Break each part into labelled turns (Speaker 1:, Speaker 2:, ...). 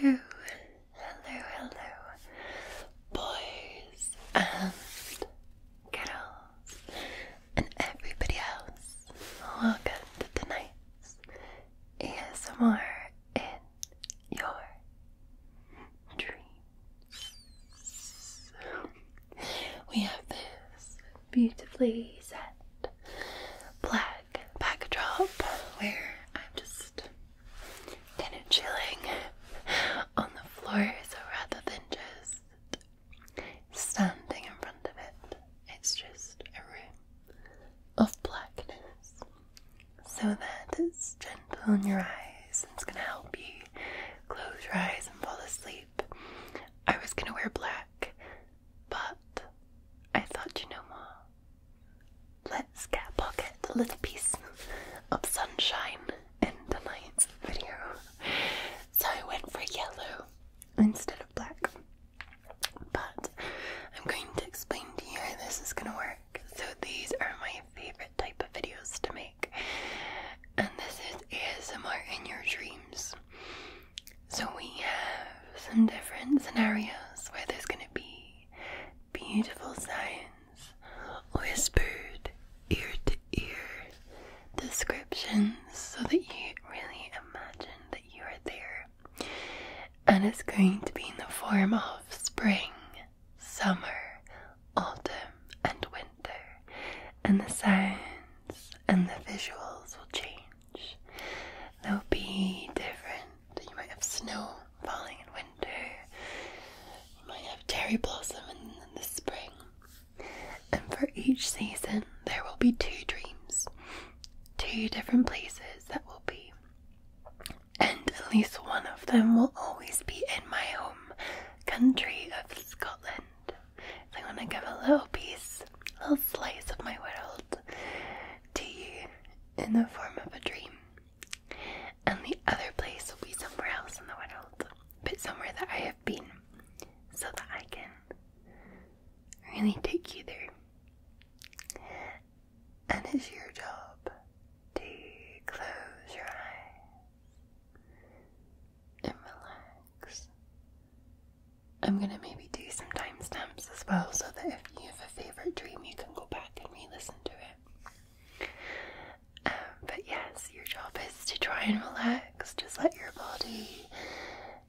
Speaker 1: Hello, hello, hello, boys and girls, and everybody else. Welcome to tonight's ASMR in your dreams. We have this beautifully set black backdrop. where I'm just kind of chilling on the floor. So rather than just standing in front of it, it's just a room of blackness. So that it's gentle in your eyes it's gonna help you close your eyes and fall asleep. I was gonna wear black but I thought, you know what? Let's get pocket, a little piece of sunshine in tonight's video. So I went for yellow instead of black. But I'm going to explain to you how this is going to work. So these are my favorite type of videos to make. And this is ASMR in your dreams. So we have some different scenarios where there's going to be beautiful signs, whispered ear to ear descriptions so that you really imagine that you are there. And it's going to be in the form of spring, summer, autumn, and winter. And the sounds and the visuals will change much. They'll be different. You might have snow falling in winter. You might have cherry blossom in the spring. And for each season, there will be two dreams, two different places that will be. And at least one of them will always be in my home country of Scotland i want to give a little piece, a little slice of my world to you in the form of a dream. And the other place will be somewhere else in the world, but somewhere that I have been, so that I can really take you there. And it's your job to close your eyes and relax I'm gonna maybe do some timestamps as well so that if you have a favorite dream, you can go back and re listen to it. Um, but yes, your job is to try and relax, just let your body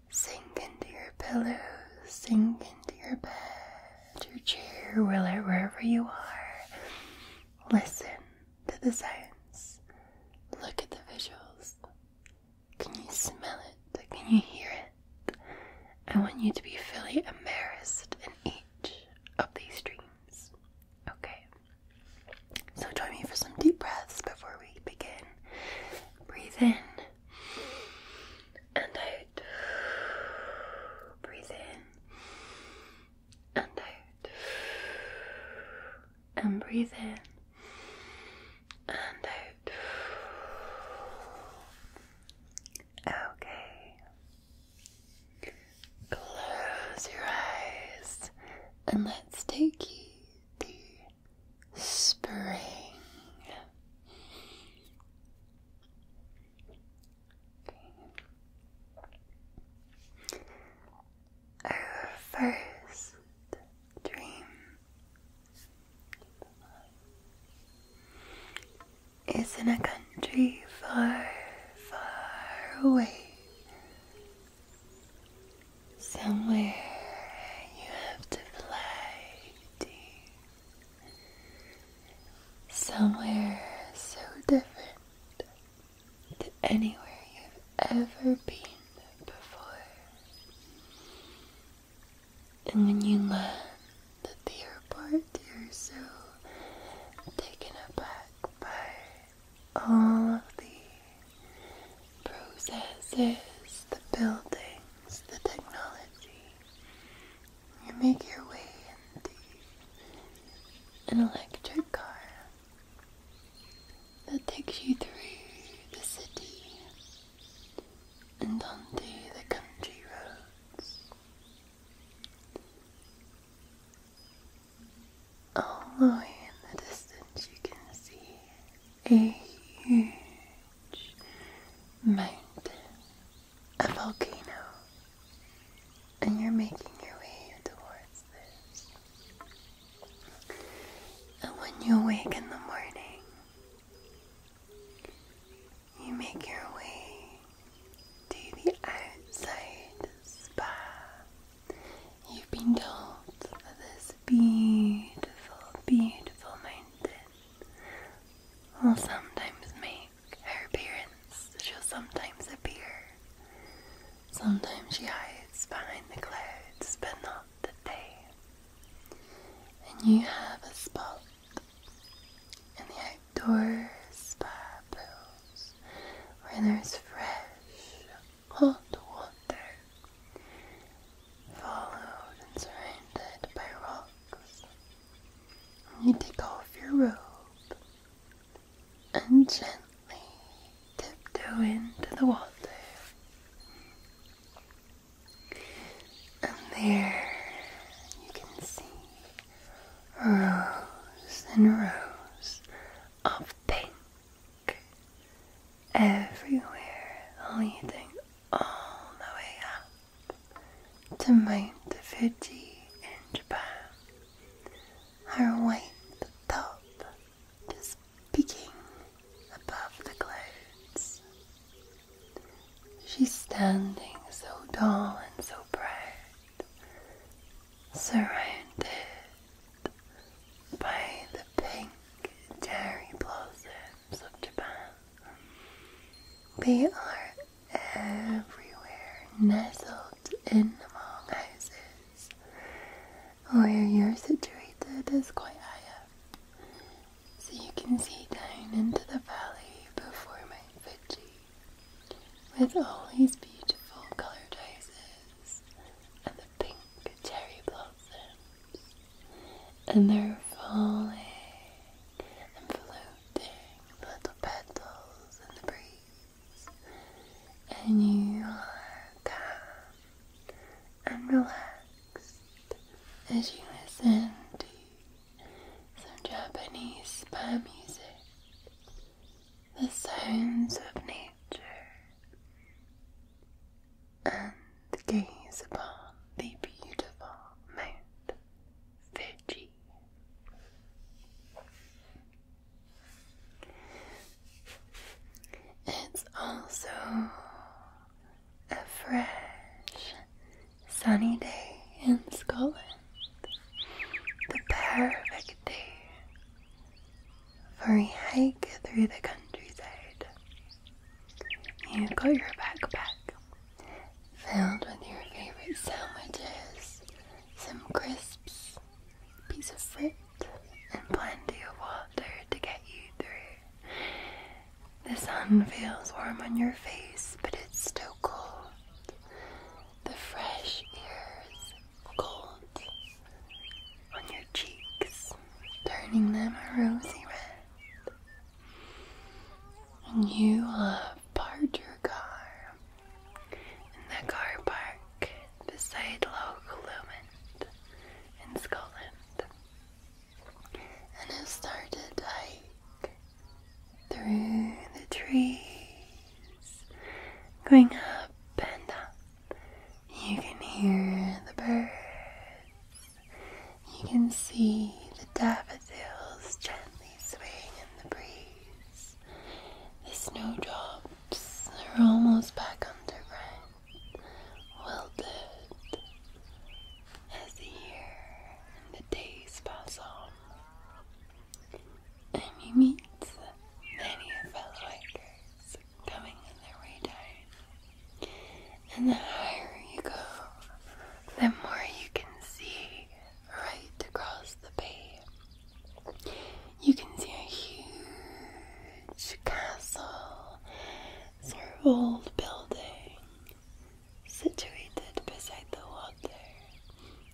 Speaker 1: sink into your pillows, sink into your bed, your chair, wherever you are. Listen to the sounds, look at the visuals, can you smell it? Can you hear it? I want you to be fully embarrassed in each of these dreams. Okay. So join me for some deep breaths before we begin. Breathe in and out. Breathe in and out. And breathe in and Okay. Close your eyes and let's take you spring our first dream is in a country far, far away. Somewhere you have to fly to. Somewhere so different to anywhere you've ever been before. And when you learn that they are part, you're so taken aback by all of the processes, the buildings, the technology. You make your way in an electric car that takes you through the city and onto the country roads. All the way in the distance, you can see a huge mountain, a volcano, and you're making your way towards this. And when you wake in the morning, you make your way to the outside spa. You've been told that this beautiful, beautiful mountain will sometimes make her appearance. She'll sometimes appear Sometimes she hides behind the clouds, but not the day. And you have a spot in the outdoors by spa pools where there's fresh, hot water, followed and surrounded by rocks. you take off your robe and gently gently tiptoe into the water. And there you can see rows and rows of pink everywhere, leading all the way up to Mount Fuji in Japan. Her white top just peeking above the clouds. She's standing so tall and so bright, surrounded by the pink cherry blossoms of Japan. They are everywhere, nestled in the mountains where oh, you're situated is quite high up, so you can see down into the valley before my Fuji with all these beautiful coloured houses and the pink cherry blossoms, and they're falling and floating little petals in the breeze, and you are calm and relax as you listen to some Japanese spa music, the sounds of nature, and gaze upon the beautiful Mount Fiji. It's also a fresh, sunny day in Scotland. The perfect day for a hike through the countryside. You've got your backpack filled with your favorite sandwiches, some crisps, piece of fruit, and plenty of water to get you through. The sun feels warm on your face, but it's still cold. The fresh air is cold on your cheeks, turning them a rosy red. And you love parked your car, in the car park beside Loch Lomond in Scotland and I started to hike through the trees going up and up. You can hear the birds. You can see the daffodils gently swaying in the breeze. The snowdrops lips are almost back underground. Well did. As the year and the days pass on, and you meet many fellow hikers coming on their way and the higher you go, the more you can see right across the bay you can see a huge castle, sort old building, situated beside the water.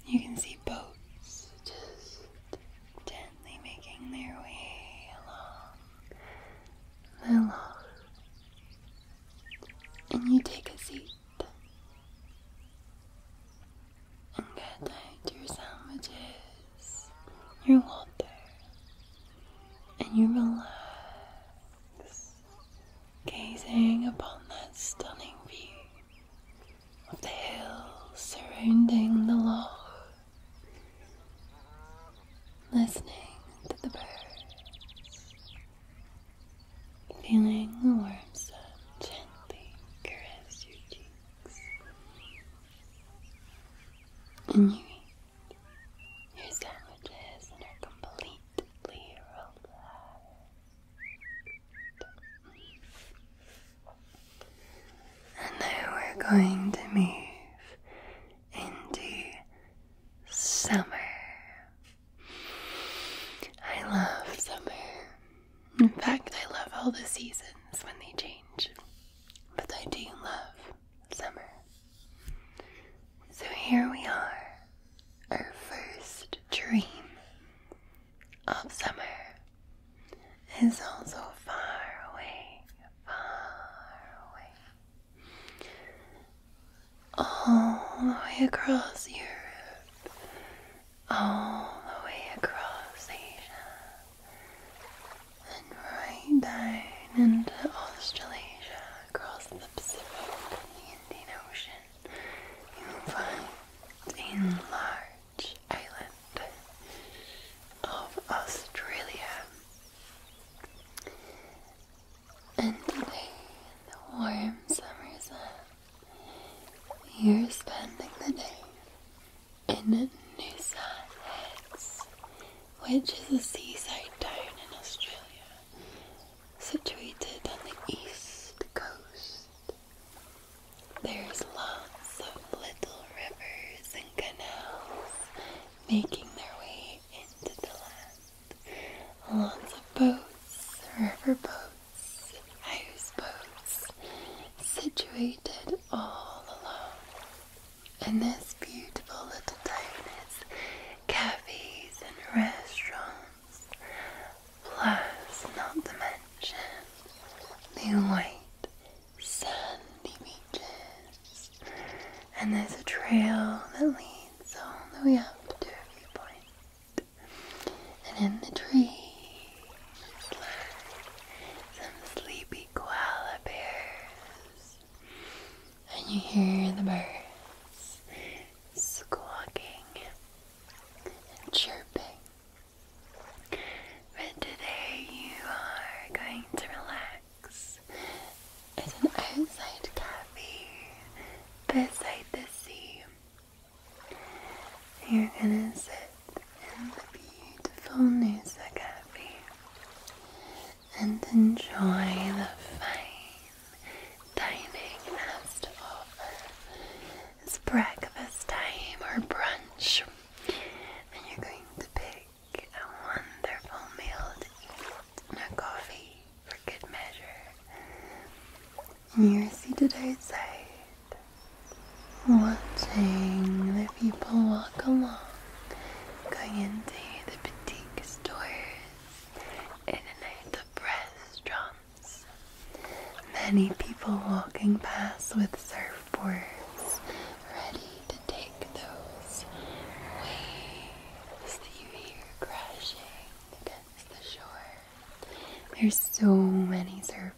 Speaker 1: You can see boats gently making their way along the loch. And you take a seat and get out your sandwiches, your water, and you relax, gazing upon that stunning view of the hills surrounding the loch, listening to the birds, feeling the warm sun gently caress your cheeks and you, your sandwiches and are completely relaxed. And now we're going to move into summer. I love summer. In fact, I love all the seasons when they change, but I do love summer. So here we are, our first dream of summer is also far away, far away. All the way across Europe, all the way across Asia, and right down into Australasia, across the Pacific and the Indian Ocean, you'll find a large island of Australia. And today, in the warm summer sun, you're spending the day in Noosa Heads, which is a seaside town in Australia, situated on the east coast. There's lots of little rivers and canals making their way into the land. Lots of boats, river boats, houseboats situated all along. In this beautiful little town is cafes and restaurants, plus not to mention the white sandy beaches. And there's a trail that leads all the way up to a viewpoint. And in the trees some sleepy koala and you hear the birds squawking and chirping. But today you are going to relax at an outside cafe beside the sea. You're gonna sit and the beautifulness of coffee and enjoy the fine dining it has It's breakfast time or brunch, and you're going to pick a wonderful meal to eat and a coffee for good measure. And you're seated outside watching the people walk along, going into the boutique stores and out restaurants. Many people walking past with surfboards, ready to take those waves that you hear crashing against the shore. There's so many surfboards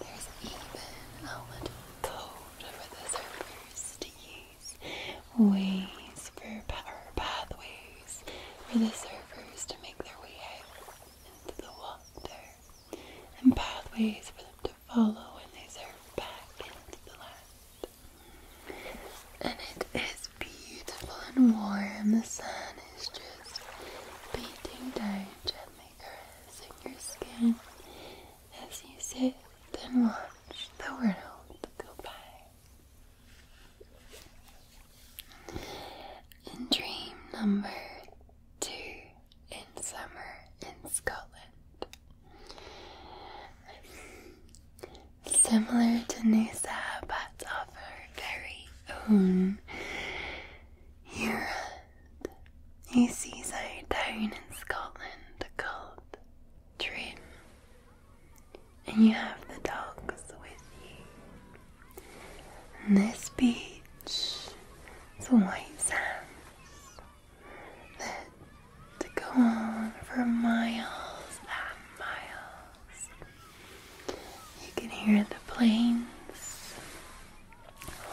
Speaker 1: there's even a little
Speaker 2: code for the surfers to use. Ways
Speaker 1: for power pathways for the surfers to make their way out into the water. And pathways for them to follow when they surf back into the land. And it is beautiful and warm. The sun is just beating down gently makers in your skin as you sit and watch the world go by. In dream number two, in summer in Scotland. Similar to Noosa, but of her very own. you he sees a town in Scotland called Trim, and you have the dogs with you. And this beach it's white sands that go on for miles and miles. You can hear the planes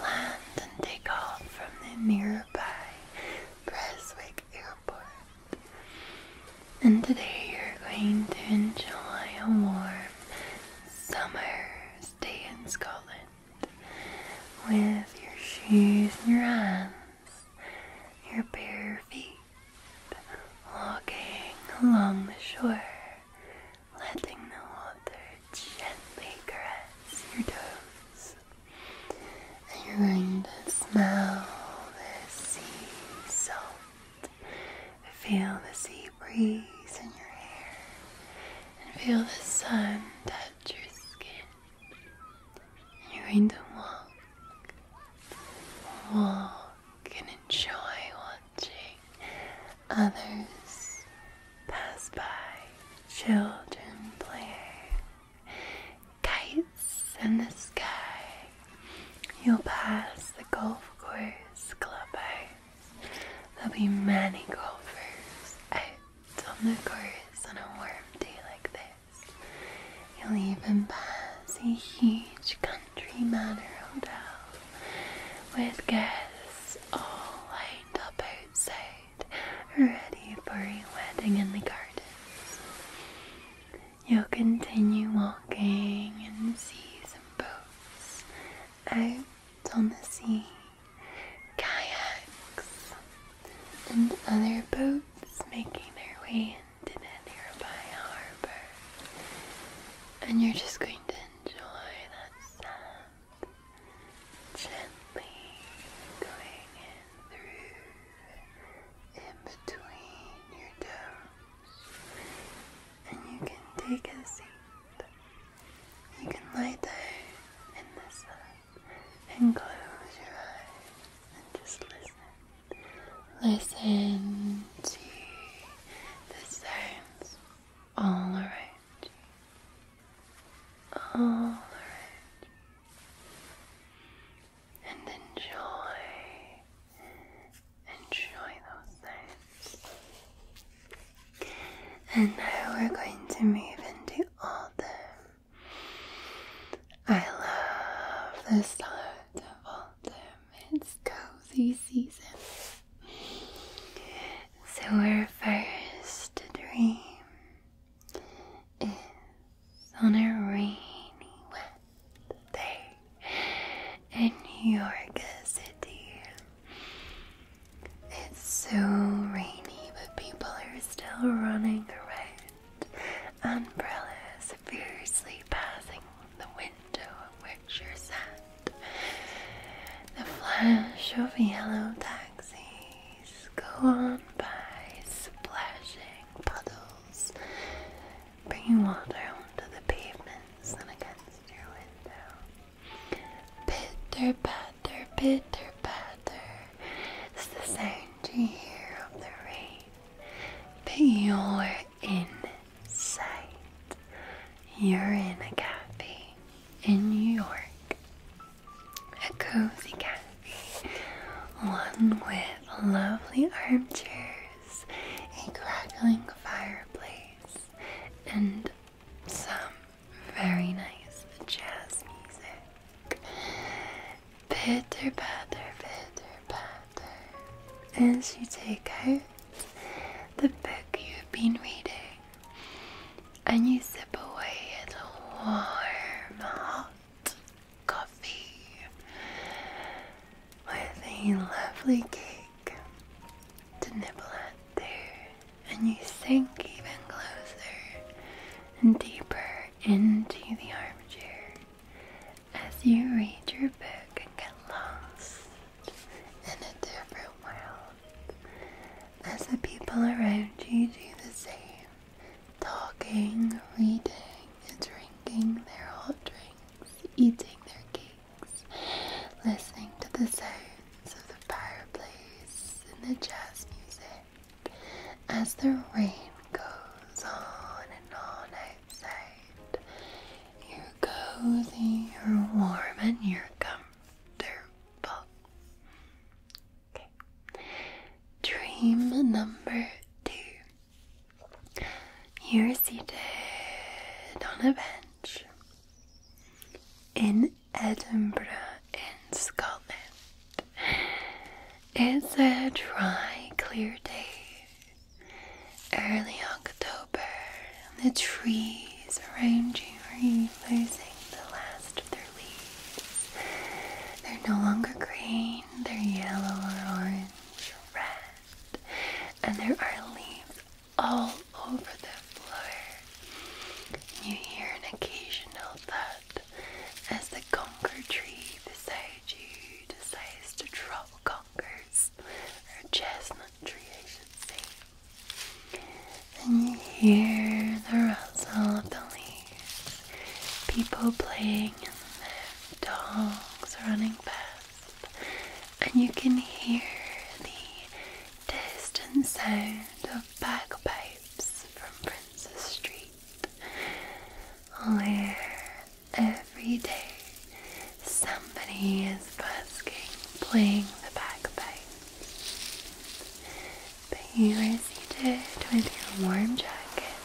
Speaker 1: Land and take off from the nearby Preswick Airport. And today you're going to enjoy a warm summer stay in Scotland with your shoes in your hands, your bare feet walking along the shore letting the water gently caress your toes. And you're going to smell the sea salt, feel the sea breeze in your hair, and feel the sun touch your skin. you're going to walk, walk, and enjoy others pass by, children playing, kites in the sky. You'll pass the golf course clubhouse. There'll be many golfers out on the course on a warm day like this. You'll even pass a huge country manor house with guests all lined up outside, ready for a wedding in the gardens. You'll continue walking and see some boats out on the sea, kayaks, and other boats making their way into the nearby harbour. And you're just going to enjoy that sound gently going in through in between your toes. And you can take a seat. You can lie down in the sun and close your eyes and just listen. Listen to the sounds all right. All right. And enjoy. Enjoy those things. And now we're going to move into autumn. I love the start of autumn. It's cozy season. So, our first dream is on a rainy, wet day in New York City. It's so rainy, but people are still running around. Umbrellas fiercely passing the wind into a picture set. The flash of yellow taxis go on by splashing puddles, bringing water onto the pavement and against your window. Pitter patter, pitter patter is the sound you hear of the rain, but insight. You're in a cafe in New York, a cozy cafe, one with lovely armchairs, a crackling fireplace, and some very nice jazz music. Pitter patter, pitter patter, as you take out the book you've been reading, and you sip away at a warm, hot coffee with a lovely cake to nibble at there, and you sink even closer and deeper into the armchair as you read your book and get lost in a different world as the people around you do the same, talking, reading, drinking their hot drinks, eating their cakes, listening to the sounds of the fireplace and the jazz music as the rain goes on and on you're cozy, you're warm, and you're comfortable. Dream number two. You're seated on a bench in Edinburgh, in Scotland. It's a dry, clear day early October, the trees around you are losing the last of their leaves. They're no longer green, they're yellow or orange, red, and there are leaves all over the floor. You hear an occasional thud as the conker tree beside you decides to drop or chestnut tree, I should say. And you hear the rustle of the leaves, people playing the dogs running past, and you can hear the distant sound of bagpipes from Princess Street. Where every day somebody is busking, playing the bagpipes. But you are seated with your warm jacket,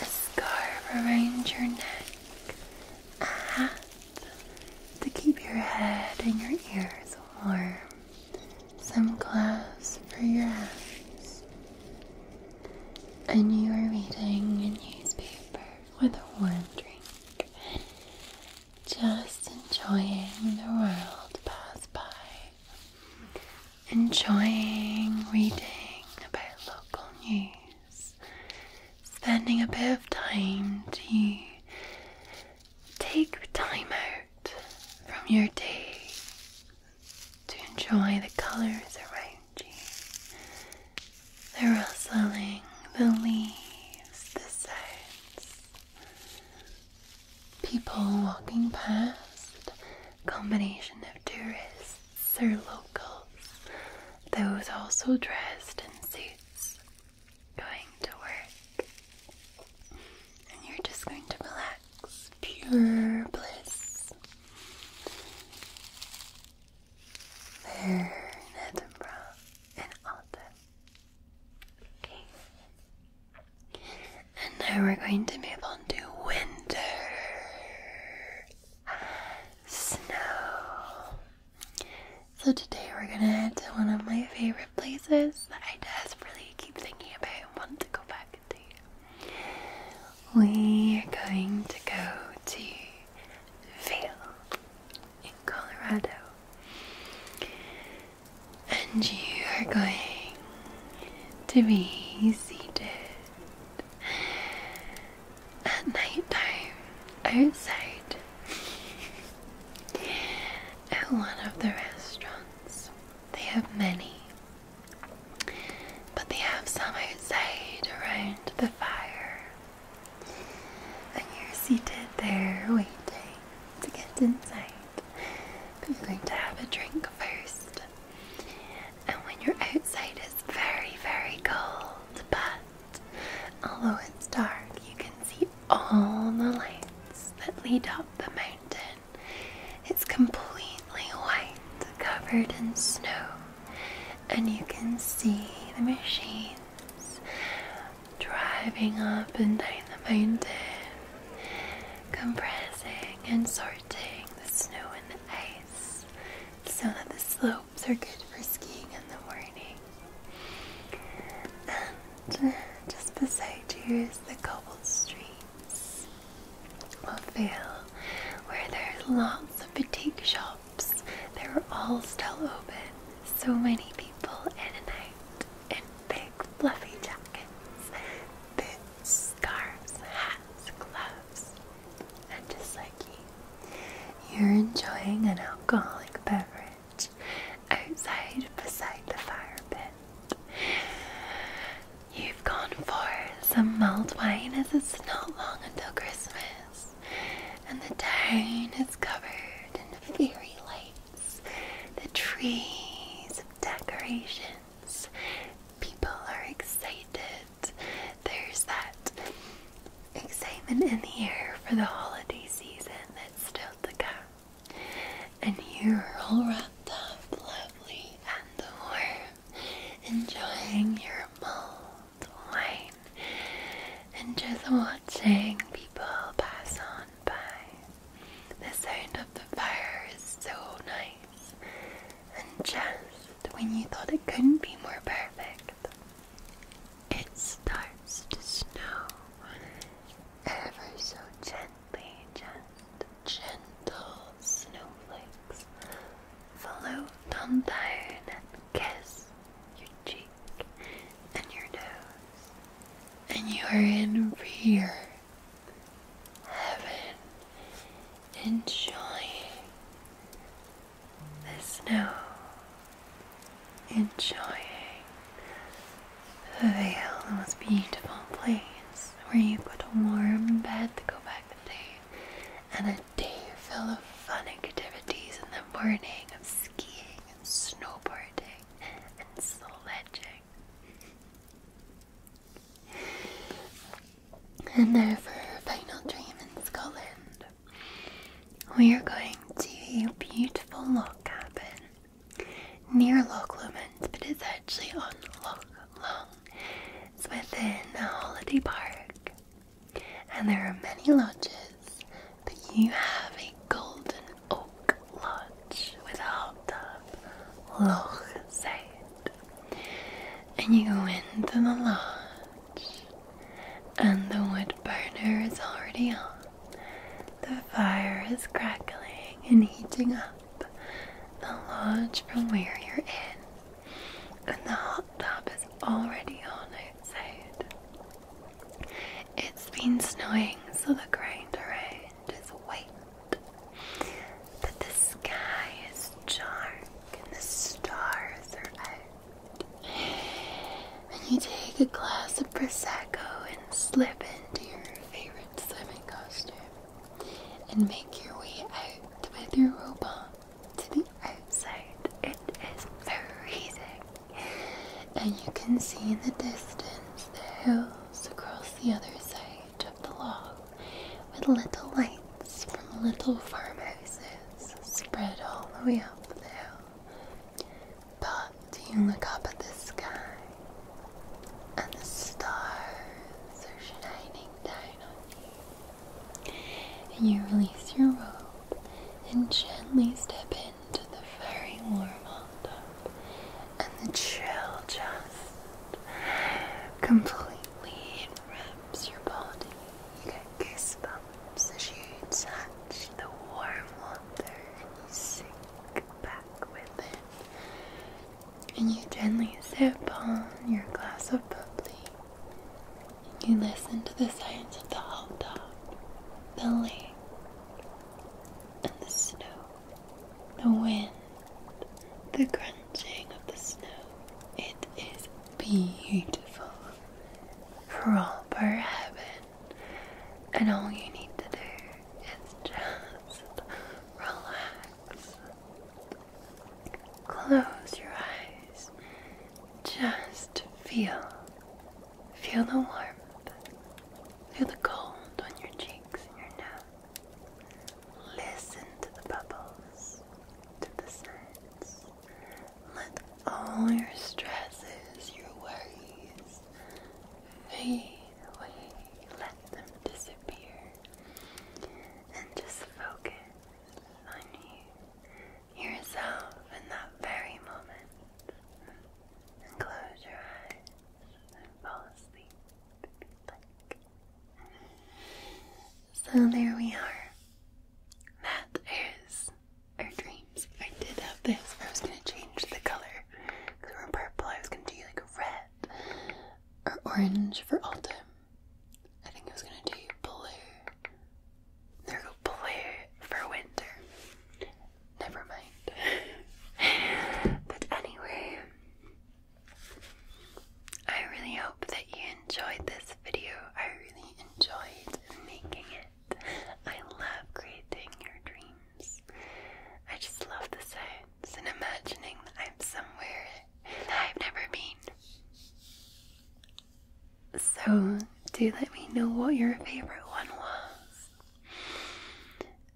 Speaker 1: a scarf around your neck, a hat to keep your head and your ears warm, some gloves for your hands, and you are reading a newspaper with a warm drink, just enjoying the world pass by, enjoying reading about local news, spending a bit of time to take time out from your day to enjoy the colours around they're rustling, the leaves, the sounds, people walking past, combination of tourists or locals, those also dressed in suits, going to work, and you're just going to relax, pure bliss there in Edinburgh in autumn. Okay. And now we're going to move on to winter. Snow. So today we're gonna head to one of my favorite places that I desperately keep thinking about and want to go back to. We are going to go to Vale in Colorado. And you are going to be seated at night time outside at one of the restaurants. They have many, but they have some outside around the fire. And you're seated there waiting to get inside. But you're going to have a drink first. And when you're outside, it's very, very cold. But although it's dark, you can see all the lights that lead up the mountain. It's completely white, covered in snow and you can see the machines driving up and down the mountain, compressing and sorting the snow and the ice so that the slopes are good for skiing in the morning. And uh, just beside you is the cobbled streets of Vale, where there's lots of boutique shops shops. They were all still open. So many people in a night in big fluffy jackets, boots, scarves, hats, gloves. And just like you, you're enjoying an alcoholic beverage outside beside the fire pit. You've gone for some mulled wine as it's not long until Christmas and the town is covered in fairy lights, the trees of decorations. People are excited. There's that excitement in the air for the holiday season that's still to come. And you're all wrapped up, lovely and warm, enjoying your mull and just watching people pass on by. The sound of the fire is so nice, and just when you thought it couldn't be more perfect, it starts to snow ever so gently, just gentle snowflakes float on down kiss your cheek and your nose, and you are in rear heaven, enjoying the snow, enjoying the Vale, the most beautiful place where you put a warm bed to go back to day and a day full of fun activities in the morning of skiing and snowboarding and sledging. And now for our final dream in Scotland. We are going to a beautiful log cabin near Loch Lomond, but it's actually on Loch Long. It's within a holiday park and there are many lodges, but you have a golden oak lodge with a hot tub, Loch side. And you go into the lodge, and the wood burner is already on. The fire is crackling and heating up the lodge from where you're in and the hot tub is already on outside. It's been snowing, so the ground around is white, but the sky is dark and the stars are out. And you take a glass of prosecco and slip into your favorite swimming costume and make your way out with your robot to the outside. It is freezing. And you can see in the distance the hills across the other side of the log with little lights from little farmhouses spread all the way up the hill. But you look up at the sky and the stars are shining down on you. And you release your robe and gently step into the very warm hot And the chill just completely wraps your body. You get goosebumps as you touch the warm water and sink back with it. And you gently sip on your glass of bubbly you listen to the sounds of the hot dog, the lake, and the snow, the wind, the crunching of the snow. It is beautiful. Proper heaven. And all you need to do is just relax. Close your eyes. Just feel. Feel the warmth. Feel the cold on your cheeks and your nose. Listen to the bubbles, to the sounds. Let all your stresses, your worries fade away. Let them disappear. And just focus on you, yourself in that very moment, and close your eyes and fall asleep So there we are. That is our dreams. I did have this. I was gonna change the color because we we're purple. I was gonna do like red or orange for all autumn, I think I was gonna do blue. There go blue for winter. Never mind. but anyway, I really hope that you enjoyed this video. I really enjoyed making it. I love creating your dreams. I just love the sounds and imagining that I'm somewhere I've never been. So, do let me know what your favorite one was.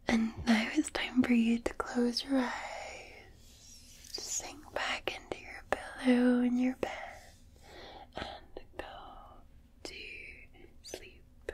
Speaker 1: And now it's time for you to close your eyes, sink back into your pillow and your bed, and go to sleep.